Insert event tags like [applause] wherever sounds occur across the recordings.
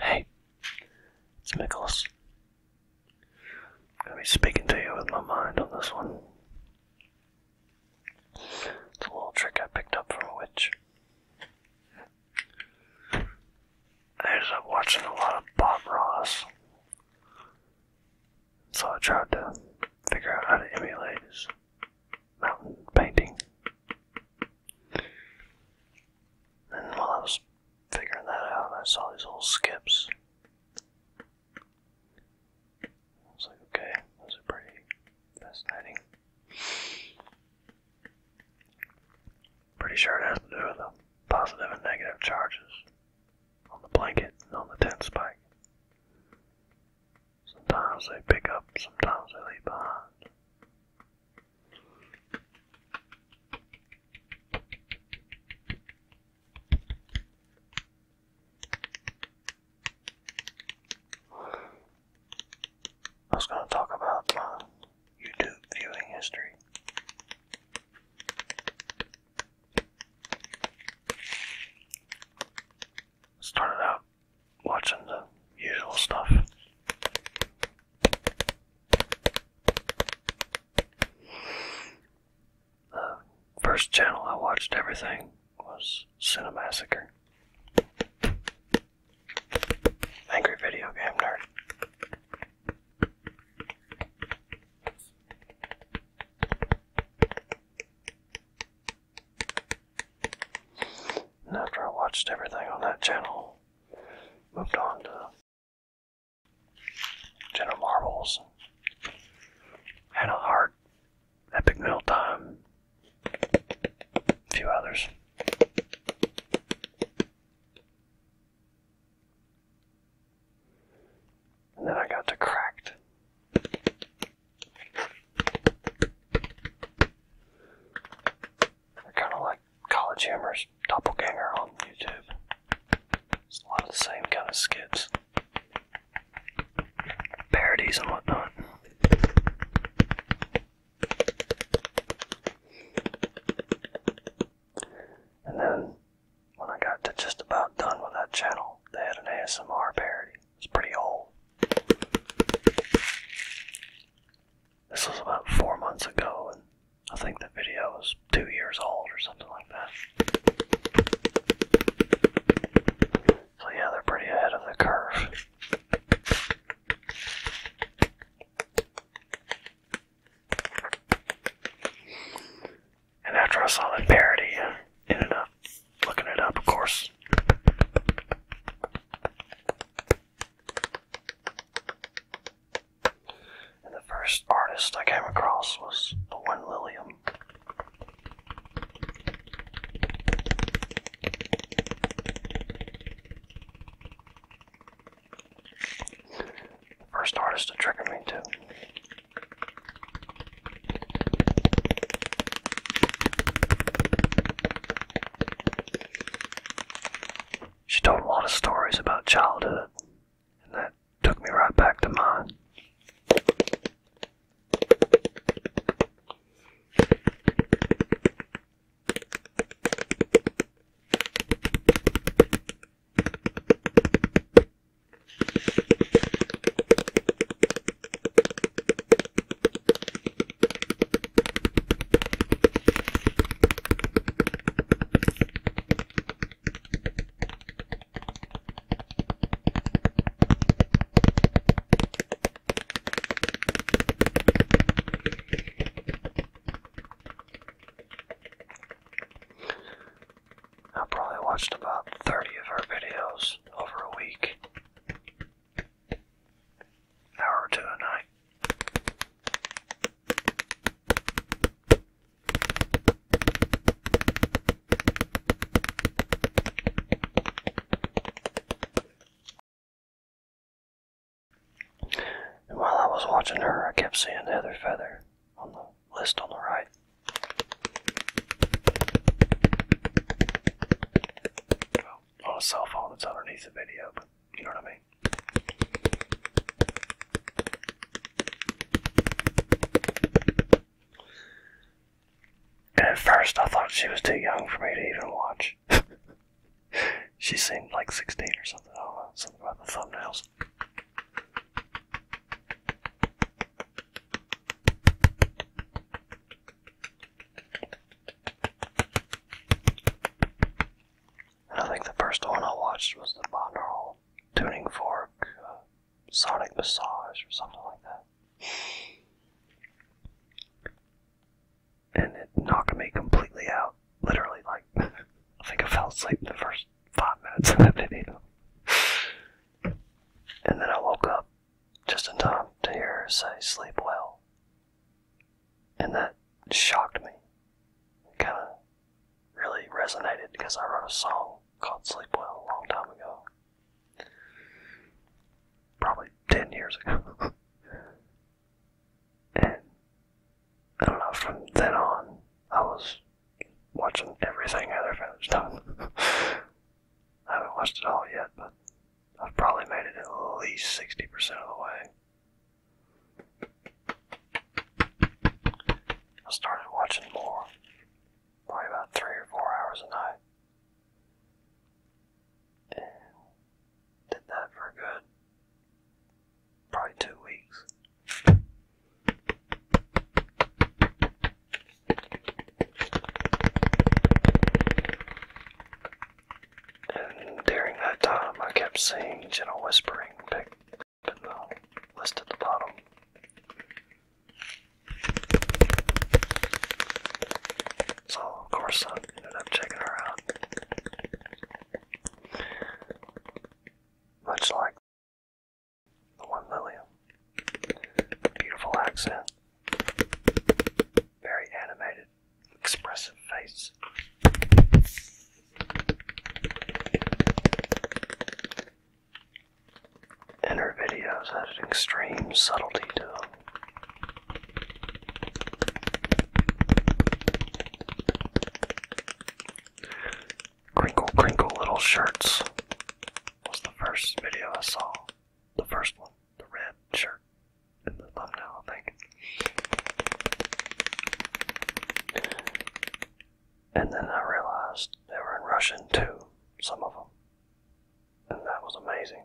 Hey, it's Nicholas. I'm going to be speaking to you with my mind on this one. It's a little trick I picked up from a witch. I ended watching a lot of Bob Ross. So I tried to figure out how to emulate his mountain painting. And while I was figuring that out, I saw these little skips. I was like, okay, those pretty fascinating. Pretty sure it has to and negative charges on the blanket and on the tent spike. Sometimes they pick up, sometimes they leave behind. I was going to talk about uh, YouTube viewing history. Started out watching the usual stuff. The first channel I watched everything was Cinemassacre. Angry Video Game Nerd after I watched everything on that channel, moved on to General Marbles. Had a heart, Epic Meal Time, a few others. And then I got to cracked. They're kind of like College Humor's doppelganger on YouTube. It's a lot of the same kind of skits, parodies, and whatnot. And then, when I got to just about done with that channel, they had an ASMR parody. It's pretty old. This was about four months ago, and I think the video was two years old or something like that. So, yeah, they're pretty ahead of the curve. And after I saw that parody, ended up looking it up, of course. And the first artist I came across was the one Lilium. first artist to trigger me too. She told a lot of stories about childhood, and that took me right back to mine. I probably watched about 30 of her videos over a week hour two a night. And while I was watching her, I kept seeing the other feather on the list on the right. On a cell phone that's underneath the video, but you know what I mean. And at first, I thought she was too young for me to even watch. [laughs] she seemed like 16 or something. Oh, do something about the thumbnails. I think the first one I watched was the binaural tuning fork uh, sonic massage or something like that. And it knocked me completely out. Literally, like, [laughs] I think I fell asleep the first five minutes of that video. And then I woke up just in time to hear her say, sleep well. And that shocked me. It kind of really resonated because I wrote a song called Sleep Well a long time ago. Probably 10 years ago. [laughs] and I don't know, from then on, I was watching everything Heather done. [laughs] I haven't watched it all yet, but I've probably made it at least 60% of the way. I started watching more, probably about three or four hours a night. did that for a good, probably two weeks. And during that time, I kept seeing gentle whispering pick the list at the bottom. So, of course, I ended up checking her out. Much like the one Lillian. Beautiful accent. Very animated, expressive face. And her videos had an extreme subtlety to them. Crinkle Crinkle Little Shirts was the first video I saw, the first one the red shirt and the thumbnail, I think. And then I realized they were in Russian too, some of them. And that was amazing.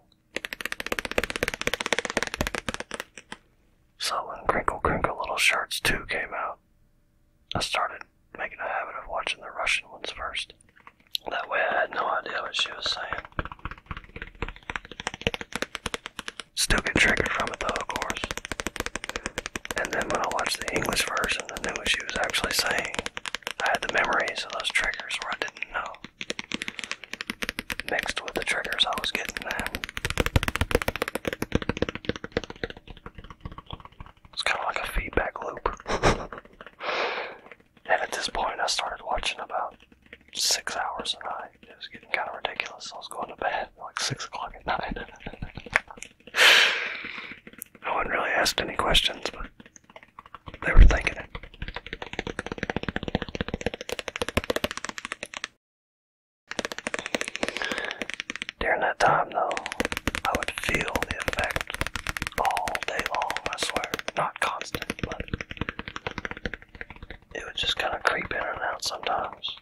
So when Crinkle Crinkle Little Shirts too came out, I started making a habit of watching the Russian ones first. That way I had no idea what she was saying. Still get triggered from it though, of course. And then when I watched the English version I knew what she was actually saying, I had the memories of those triggers where I didn't know. Mixed with the triggers I was getting there. It's kind of like a feedback loop. [laughs] And at this point, I started watching about six hours a night. It was getting kind of ridiculous. So I was going to bed like six o'clock at night. [laughs] I wouldn't really ask any questions, but they were thinking it. During that time, though, I would feel the effect all day long, I swear. Not constant, but it would just kind of creep in and out sometimes.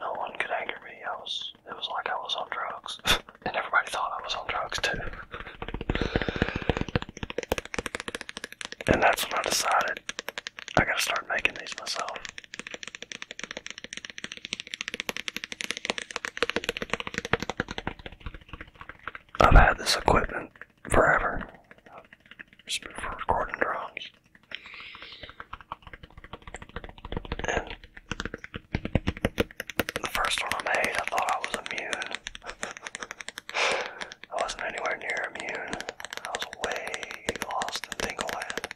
No one could anger me. I was. It was like I was on drugs, [laughs] and everybody thought I was on drugs too. and that's when I decided I gotta start making these myself. I've had this equipment forever. Just for recording drums. And the first one I made, I thought I was immune. [laughs] I wasn't anywhere near immune. I was way lost in Dingleland. [laughs]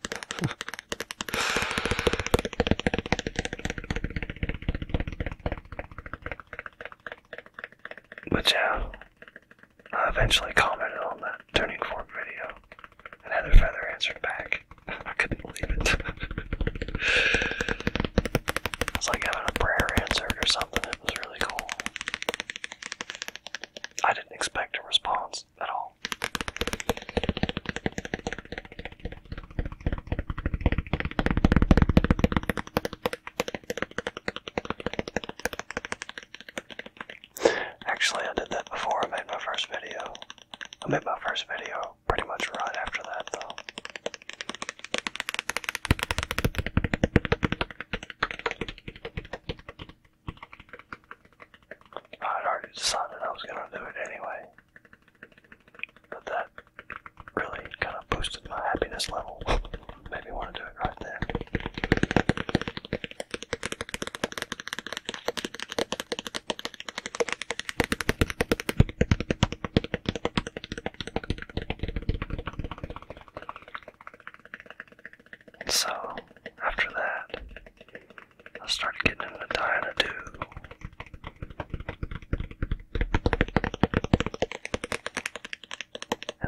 But yeah, eventually commented on that turning fork video, and Heather Feather answered back. [laughs] I couldn't believe it. [laughs] It was like having a prayer answered or something. It was really cool. I didn't expect a response at all. Actually, I did that before I made my first video. I made my first video pretty much right after that, though. I had already decided I was gonna do it anyway. But that really kind of boosted my happiness level. [laughs] Made me want to do it right there. So, after that, I started getting into the diet to and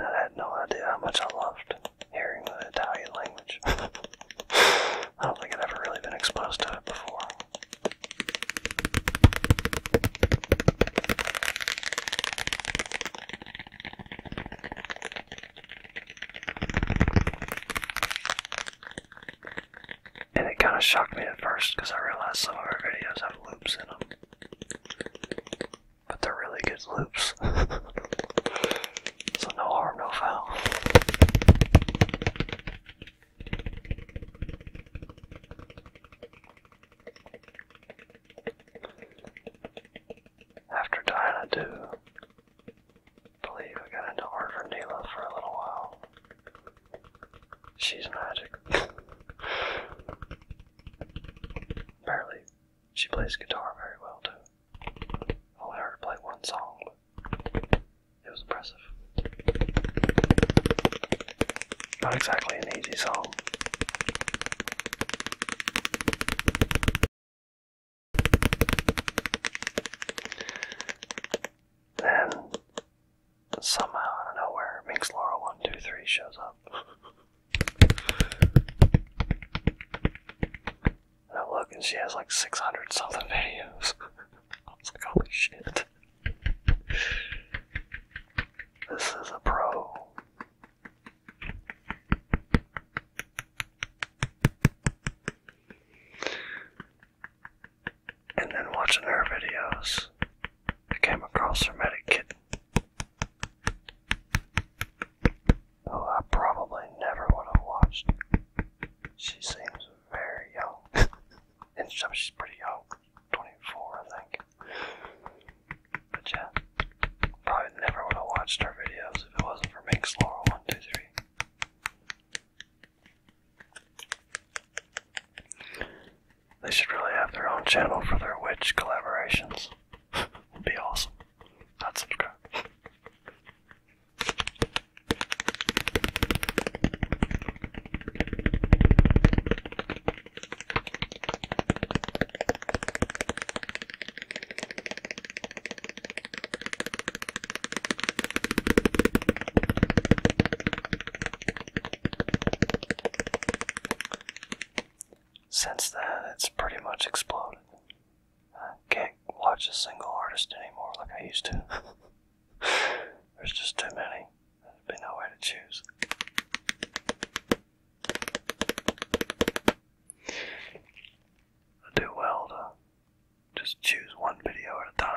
I had no idea how much I loved hearing the Italian language. [laughs] I don't think I'd ever really been exposed to it before. And it kind of shocked me at first because I realized some of our videos have loops in them. But they're really good loops. [laughs] so no harm, no foul. After dying, I believe I got into Art Vanilla for a little while. She's magic. [laughs] Apparently, she plays guitar very well too. I only heard her play one song, it was impressive. Not exactly an easy song. Then but somehow, out of nowhere, Minx Laura 123 shows up. I look and she has like 600 something videos. [laughs] I was like, holy shit. This is a pro. And then watching her videos, I came across her medikit. Who I probably never would have watched. She seems very young. [laughs] and she's pretty young. 24, I think. But yeah, probably never would have watched her videos if it wasn't for Minx 123. They should really have their own channel for their witch collaborations. It'd [laughs] be awesome. I'd since then, it's pretty much exploded. I can't watch a single artist anymore like I used to. [laughs] There's just too many. There's been no way to choose. do well to just choose one video at a time.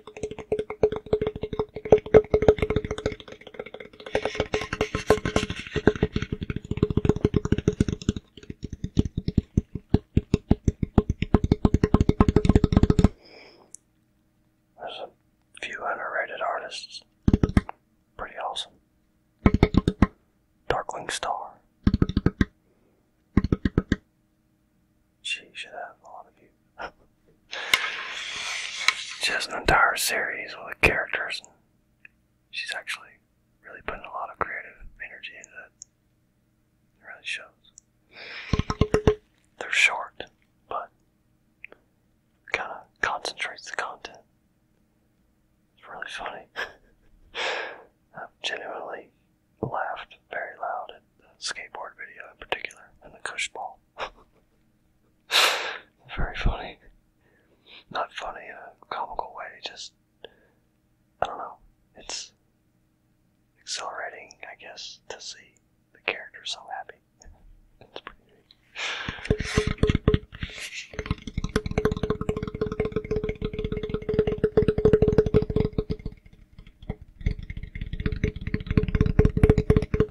There's a few underrated artists. Pretty awesome. Darkling Star. She should have a lot of views. Just an entire series with characters. And she's actually really putting a lot of creative energy into it. It really shows. They're short, but kind of concentrates the content. It's really funny. [laughs] i genuinely laughed very loud at the skateboard video in particular and the cushball. [laughs] Very funny. Not funny in a comical way, just I don't know. It's exhilarating, I guess, to see the character so happy. It's pretty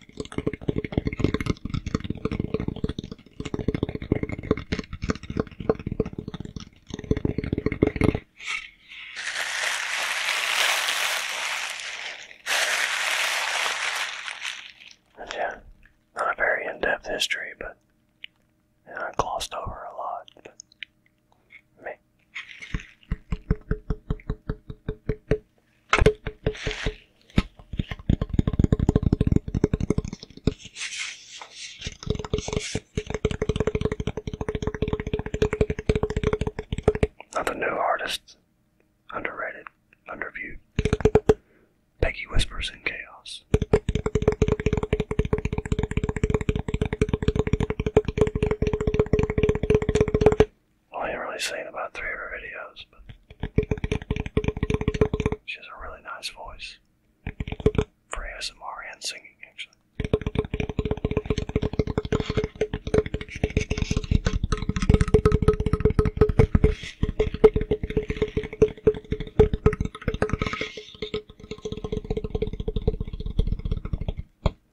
And yeah, not a very in-depth history, but you know, I glossed over a lot. me. Another new artists, underrated, underviewed. Peggy Whispers in Chaos. I haven't really seen about three of her videos, but [laughs] she has a really nice voice for ASMR and singing, actually.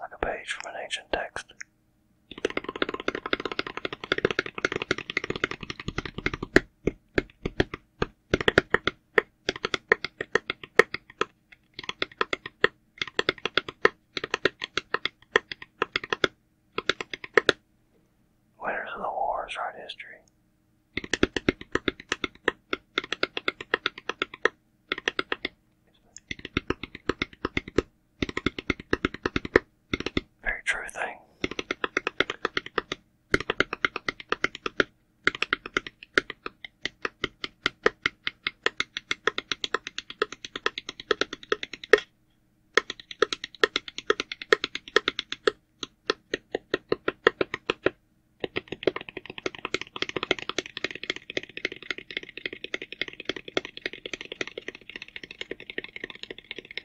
Like a page from an ancient text. Winners of the wars write history. Very true thing.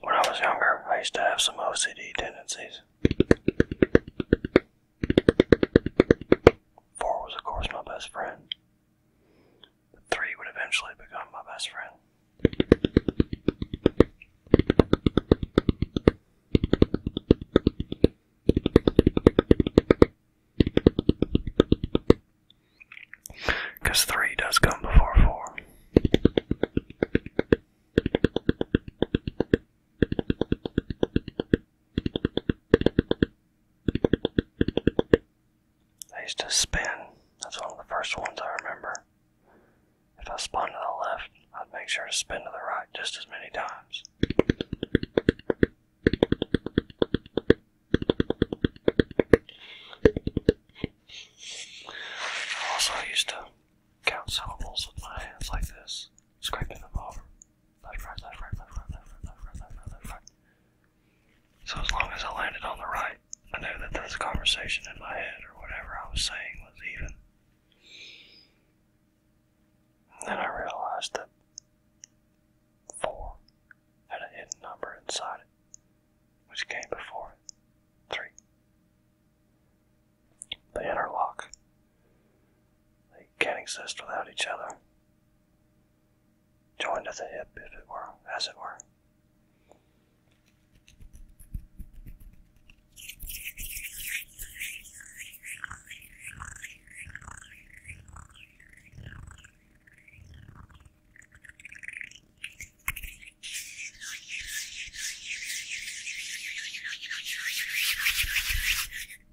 When I was younger, I used to have some OCD tendencies. Four was, of course, my best friend. But three would eventually become my best friend. Because three does come before four. I used to spin. That's one of the first ones I remember. If I spun to the left, I'd make sure to spin to the right just as many times. Also, I used to count syllables with my hands like this, scraping them over. So as long as I landed on the right, I knew that this conversation in my head or whatever I was saying was even. then I realized that four had a hidden number inside it, which came before it. Three. The interlock they can't exist without each other. Joined at the hip, if it were, as it were.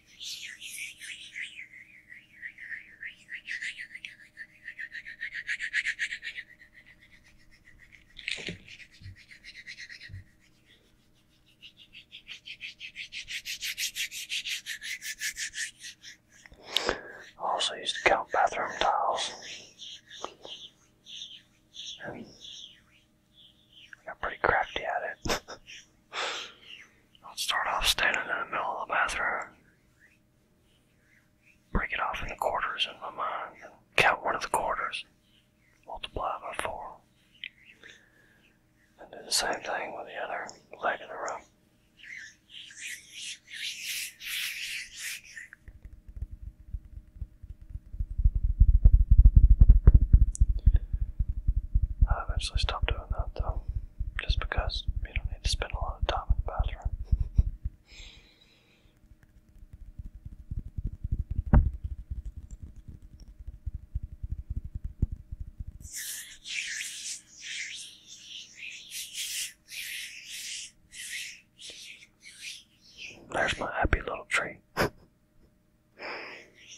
I also used to count bathroom tiles. And I got pretty crafty at it. [laughs] I'll start off standing in the middle of the bathroom. Break it off into quarters in my mind and count one of the quarters. Multiply by four. And do the same thing with the other leg of the room. I eventually stopped doing that though just because you don't need to spend a lot of time in the bathroom. There's my happy little tree. [laughs]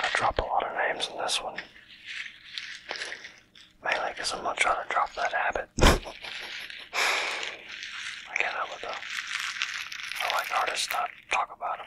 I drop a lot of names in this one. Mainly because I'm going to to drop that habit. [laughs] I can't help it though. I like artists that talk about them.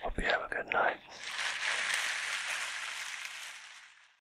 Hope you have a good night.